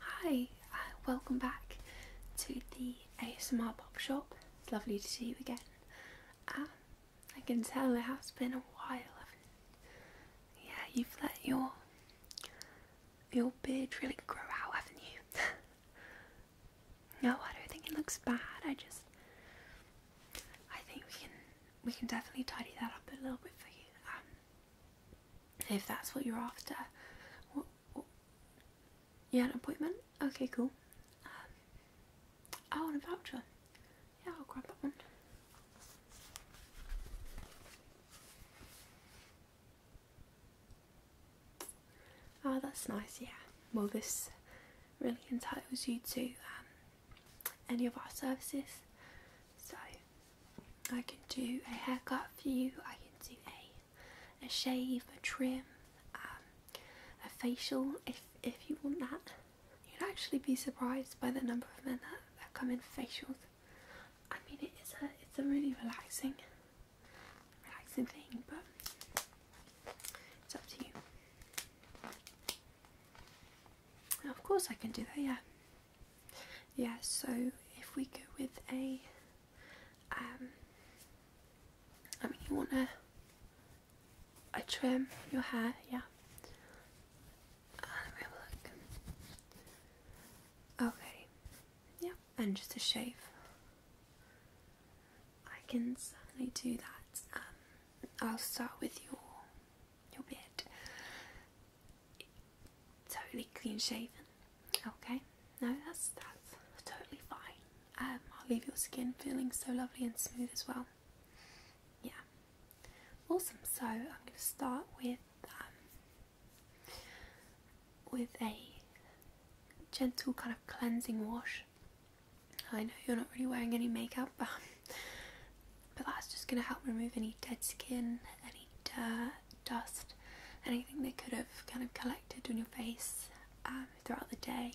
Hi, uh, welcome back to the ASMR Box Shop. It's lovely to see you again. Um, I can tell it has been a while. Yeah, you've let your your beard really grow out, haven't you? no, I don't think it looks bad. I just, I think we can we can definitely tidy that up a little bit for you. Um, if that's what you're after. yeah, an appointment? Okay, cool. I um, want oh, a voucher. Yeah, I'll grab that one. Ah, that's nice, yeah. Well, this really entitles you to um, any of our services. So, I can do a haircut for you, I can do a, a shave, a trim, um, a facial if, if you want that. You'd actually be surprised by the number of men that, that come in for facials. I mean it is a, it's a really relaxing, relaxing thing but it's up to you. of course I can do that, yeah yeah, so if we go with a, um, I mean, you want to a trim your hair, yeah. And uh, we have a look. Okay, yeah, and just a shave. I can certainly do that. Um, I'll start with your your beard totally clean shaven. Okay, no, that's that's totally fine. Um, I'll leave your skin feeling so lovely and smooth as well. Yeah, awesome. So I'm going to start with um, with a gentle kind of cleansing wash. I know you're not really wearing any makeup, but but that's just going to help remove any dead skin, any dirt, dust, anything that could have kind of collected on your face um, throughout the day.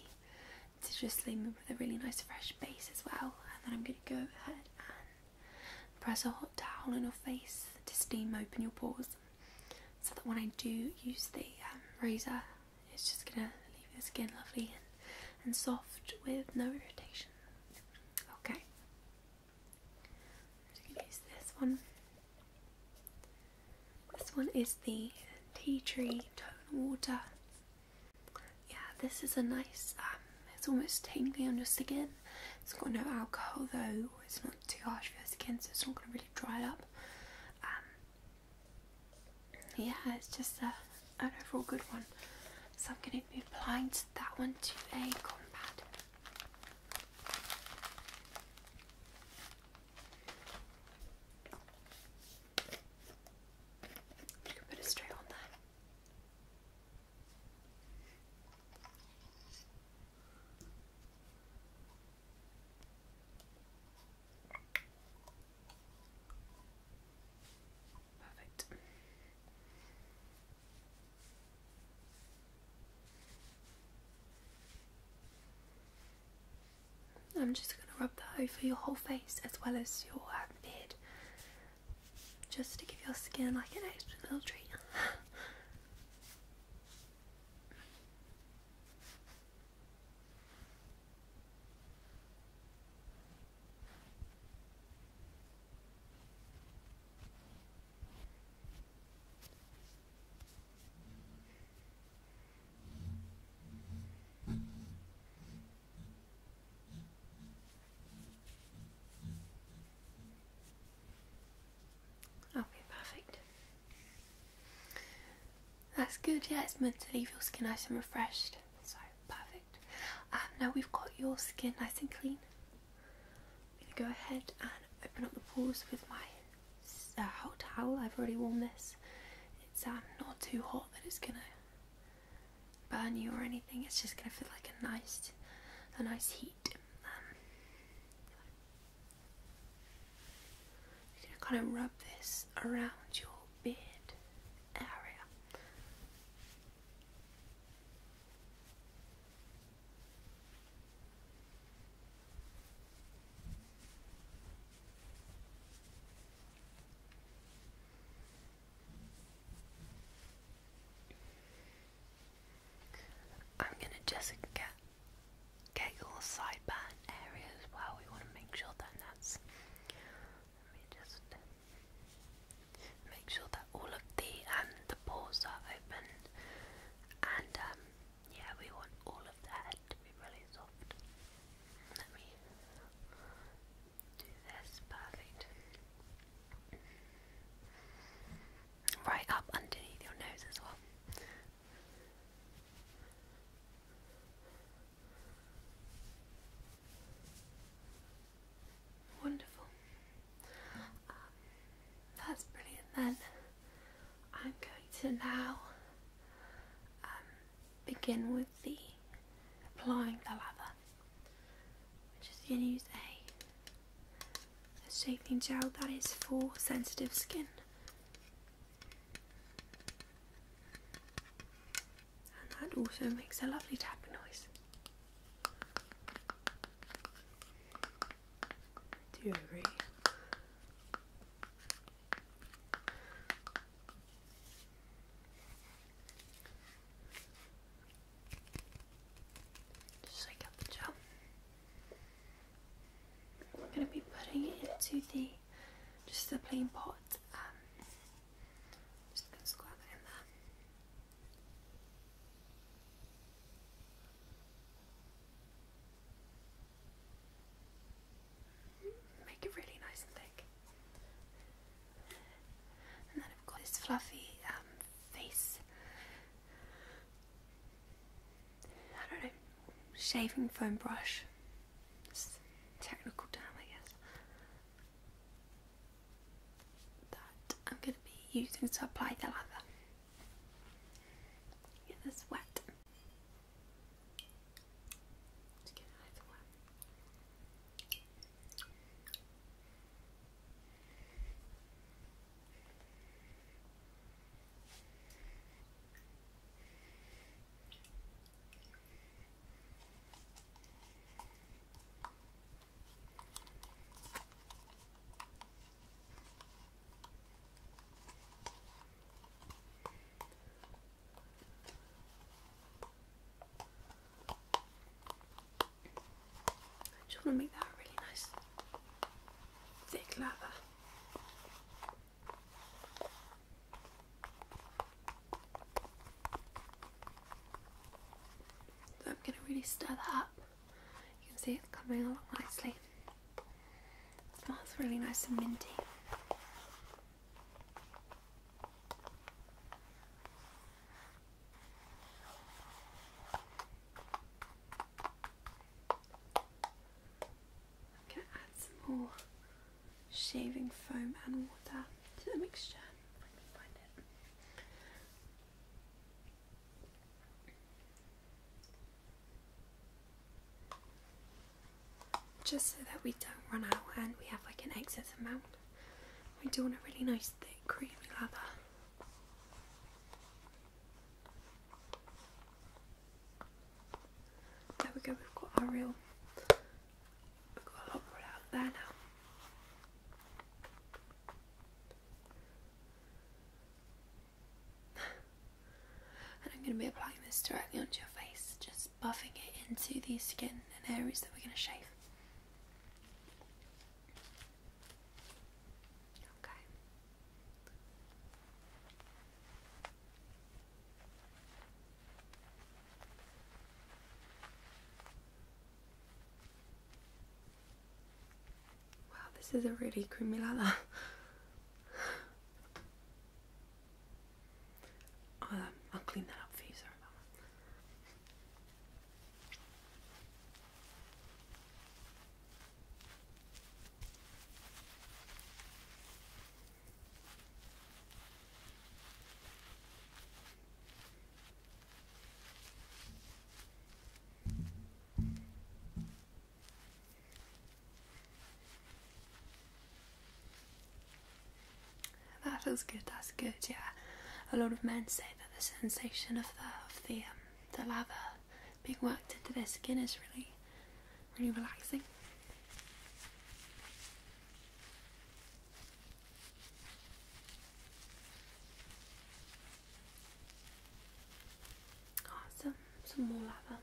To just leave them with a really nice fresh base as well, and then I'm going to go ahead and press a hot towel on your face to steam open your pores, so that when I do use the um, razor, it's just going to leave your skin lovely and soft with no irritation. Okay, use this one. This one is the tea tree tone water. Yeah, this is a nice. Um, it's almost tingly on your skin. It's got no alcohol though. It's not too harsh for your skin, so it's not going to really dry it up. Um, yeah, it's just a, an overall good one. So I'm going to we'd be applying that one to a cotton You can put it straight on there. I'm just going to rub that over your whole face as well as your um, beard just to give your skin like an extra little treat. Okay, perfect. That's good, yeah, it's meant to leave your skin nice and refreshed so perfect. Um, now we've got your skin nice and clean. I'm going to go ahead and open up the pores with my uh, hot towel. I've already warmed this. It's um, not too hot that it's going to burn you or anything. It's just going to feel like a nice, a nice heat. Um, gonna kind of rub this around your beard area. I'm gonna just get get your sideband areas. as well. We want to make sure that that's let me just make sure that all of the um the pores are open, and um, yeah, we want all of the head to be really soft. Let me do this perfect. Right up underneath your nose as well. Wonderful. Um, that's brilliant then. I'm going to now um, begin with the applying the lather. which is going to use a shaping gel that is for sensitive skin and that also makes a lovely tapping noise. Do you agree? Just like up the top. I'm going to be putting it into the just the plain pot. Um, just gonna squirt in there. Make it really nice and thick. And then I've got this fluffy um, face. I don't know, shaving foam brush. technical term, I guess that I'm going to be using to apply the lather. Get this wet. I just want to make that really nice thick leather. I'm going to really stir that up. You can see it's coming along nicely. It smells really nice and minty. I'm going to add some more shaving foam and water to the mixture. Just so that we don't run out and we have like an excess amount. We do want a really nice thick creamy lather. There we go, we've got our real I've got a lot more out there now. and I'm going to be applying this directly onto your face, just buffing it into the skin and areas that we're going to shave. Okay. Wow, this is a really creamy lather. Um, I'll, clean that up for you, sorry that feels good. That's good. Yeah, a lot of men say that the sensation of the of the um, the lather being worked into their skin is really really relaxing. Awesome, some more leather.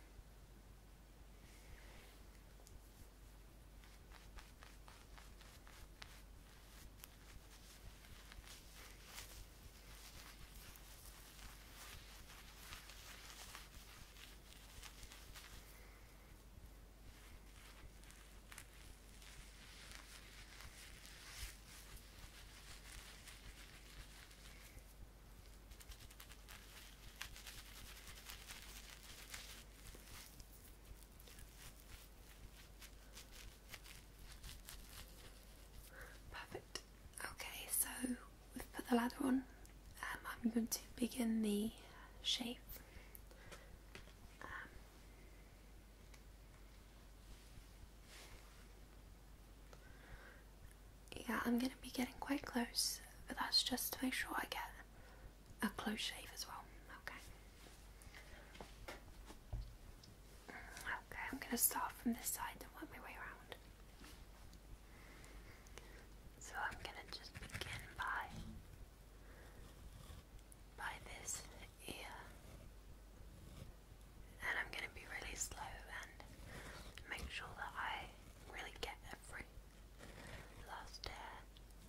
Perfect. Okay, so we've put the ladder on, um, I'm going to begin the shave. Um, yeah, I'm going to be getting quite close, but that's just to make sure I get a close shave as well. Okay. Okay, I'm going to start from this side and work my way around. So I'm going to just begin by by this ear. And I'm going to be really slow and make sure that I really get every last air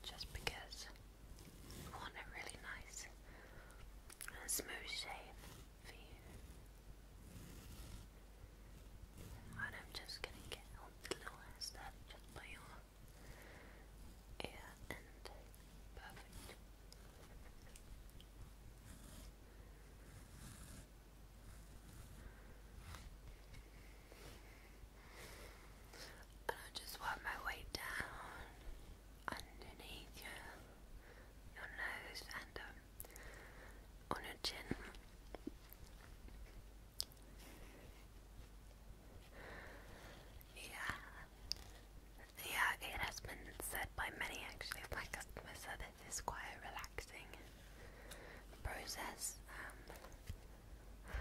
just because I want a really nice and smooth shave for you. But I'm just gonna get on the little ass that just by your ear and perfect. And I just work my way down underneath your, your nose and up on her chin. Yeah. Yeah, it has been said by many actually of customers that it is quite a relaxing process. Um,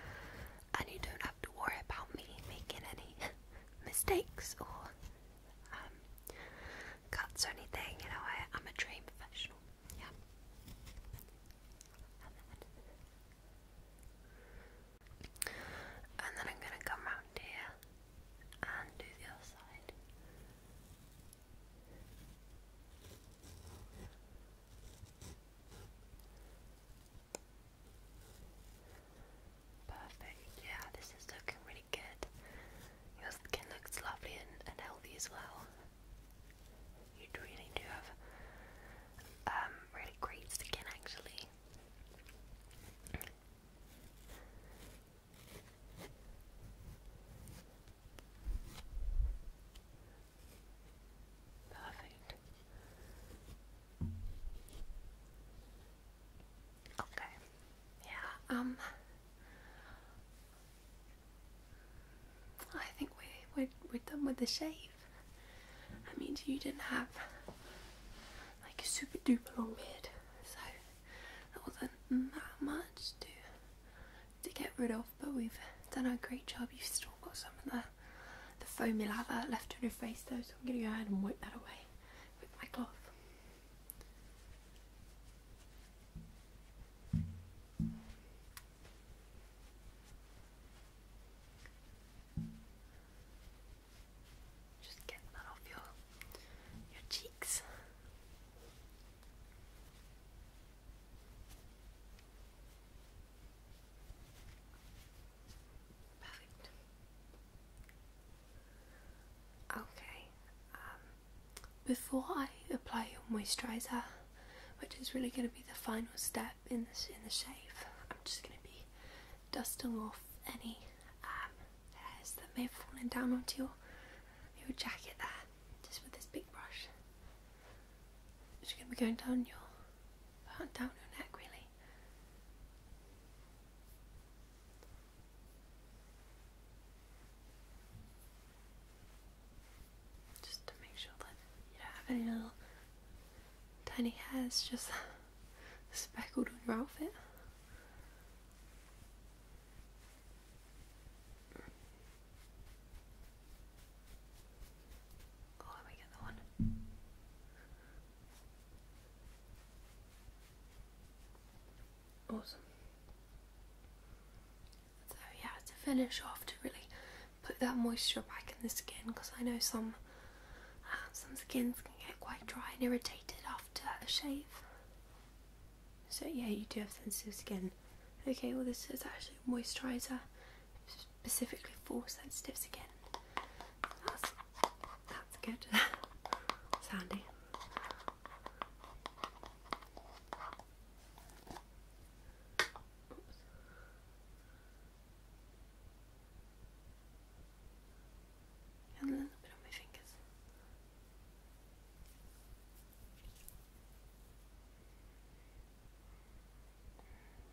and you don't have to worry about me making any mistakes or um, cuts or anything. You know, I, am a dream professional. Yeah. and then I'm gonna come round here and do the other side. Perfect, yeah, this is looking really good. Your skin looks lovely and, and healthy as well. You really do have um, really great skin, actually. Perfect. Okay. Yeah, um I think we're, we we're done with the shave. I mean, you didn't have like a super duper long beard, so that wasn't that much to, to get rid of, but we've done a great job. You've still got some of the, the foamy lather left on your face though, so I'm going to go ahead and wipe that away with my cloth. Just get that off your your cheeks. Perfect. Okay, um, before I apply your moisturizer, which is really going to be the final step in this in the shave, I'm just going to be dusting off any um, hairs that may have fallen down onto your your jacket there, just with this big brush. It's going to be going down your down your neck really. Just to make sure that you don't have any little tiny hairs just speckled on your outfit. Oh, let me get the one. Awesome. So yeah, to finish off, to really put that moisture back in the skin, because I know some uh, some skins can get quite dry and irritated after a shave. So yeah, you do have sensitive skin. Okay, well this is actually a moisturiser specifically for sensitive skin. That's that's good. Sandy a little bit on my fingers.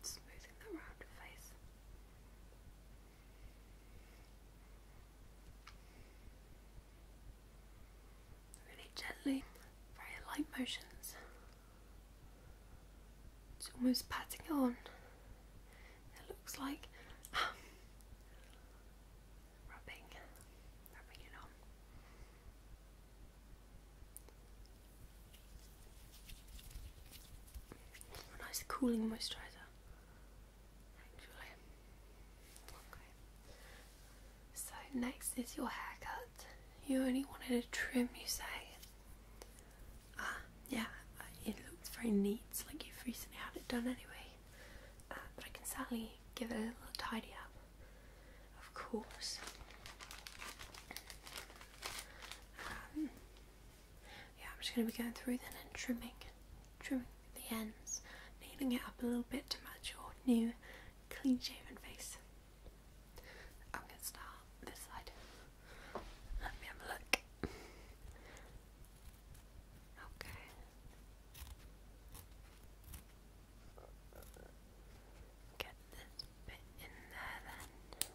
Smoothing the round face. Really gently, very light motions. It's almost patting on. It looks like um, rubbing, rubbing it on. nice cooling moisturiser. So next is your haircut. You only wanted a trim, you say? Ah, yeah. Uh, it looks very neat, It's like you've recently had it done anyway. Uh, but I can certainly give it a little tidy up, of course. Um, yeah, I'm just going to be going through then and trimming, trimming the ends, kneading it up a little bit to match your new clean shaven face. I'm going to start this side. Let me have a look. Okay. Get this bit in there then.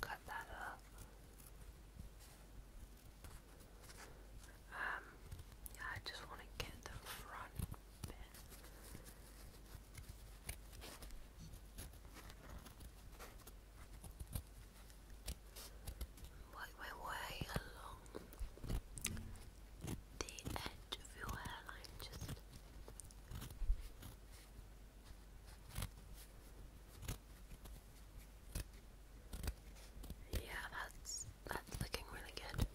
Cut that um, I just want to get the front bit. Work my way along the edge of your hairline just yeah, that's that's looking really good.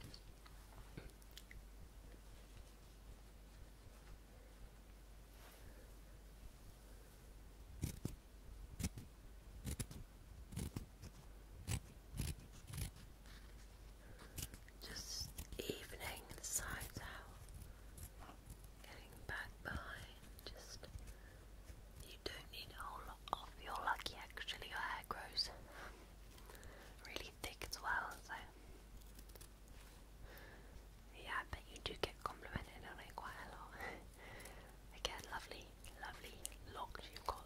Just evening sides out. Getting back behind. Just you don't need a whole lot of you're lucky actually your hair grows really thick as well, so yeah, I bet you do get complimented on it quite a lot. Again, lovely, lovely locks you've got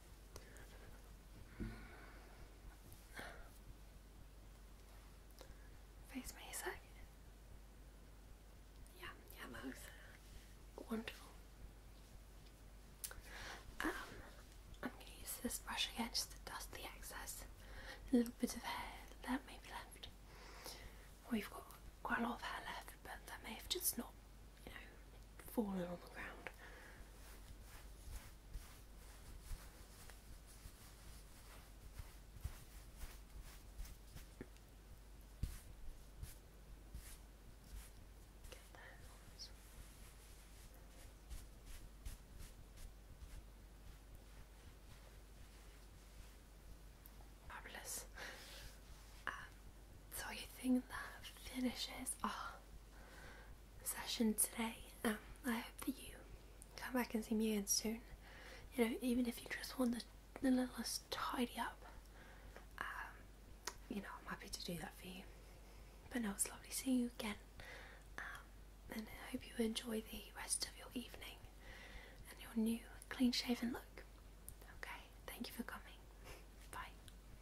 Face me a Yeah, yeah, both. Wonderful. Um, I'm gonna use this brush again just to dust the excess. A little bit of hair that may be left. We've got quite a lot of hair left, but that may have just not you know, fallen on the ground. Get those. Fabulous. Um, so you think that finishes? Ah, session today. Um, I hope that you come back and see me again soon. You know, even if you just want the, the littlest tidy up, um, you know, I'm happy to do that for you. But no, it's lovely seeing you again. Um, and I hope you enjoy the rest of your evening and your new clean shaven look. Okay, thank you for coming.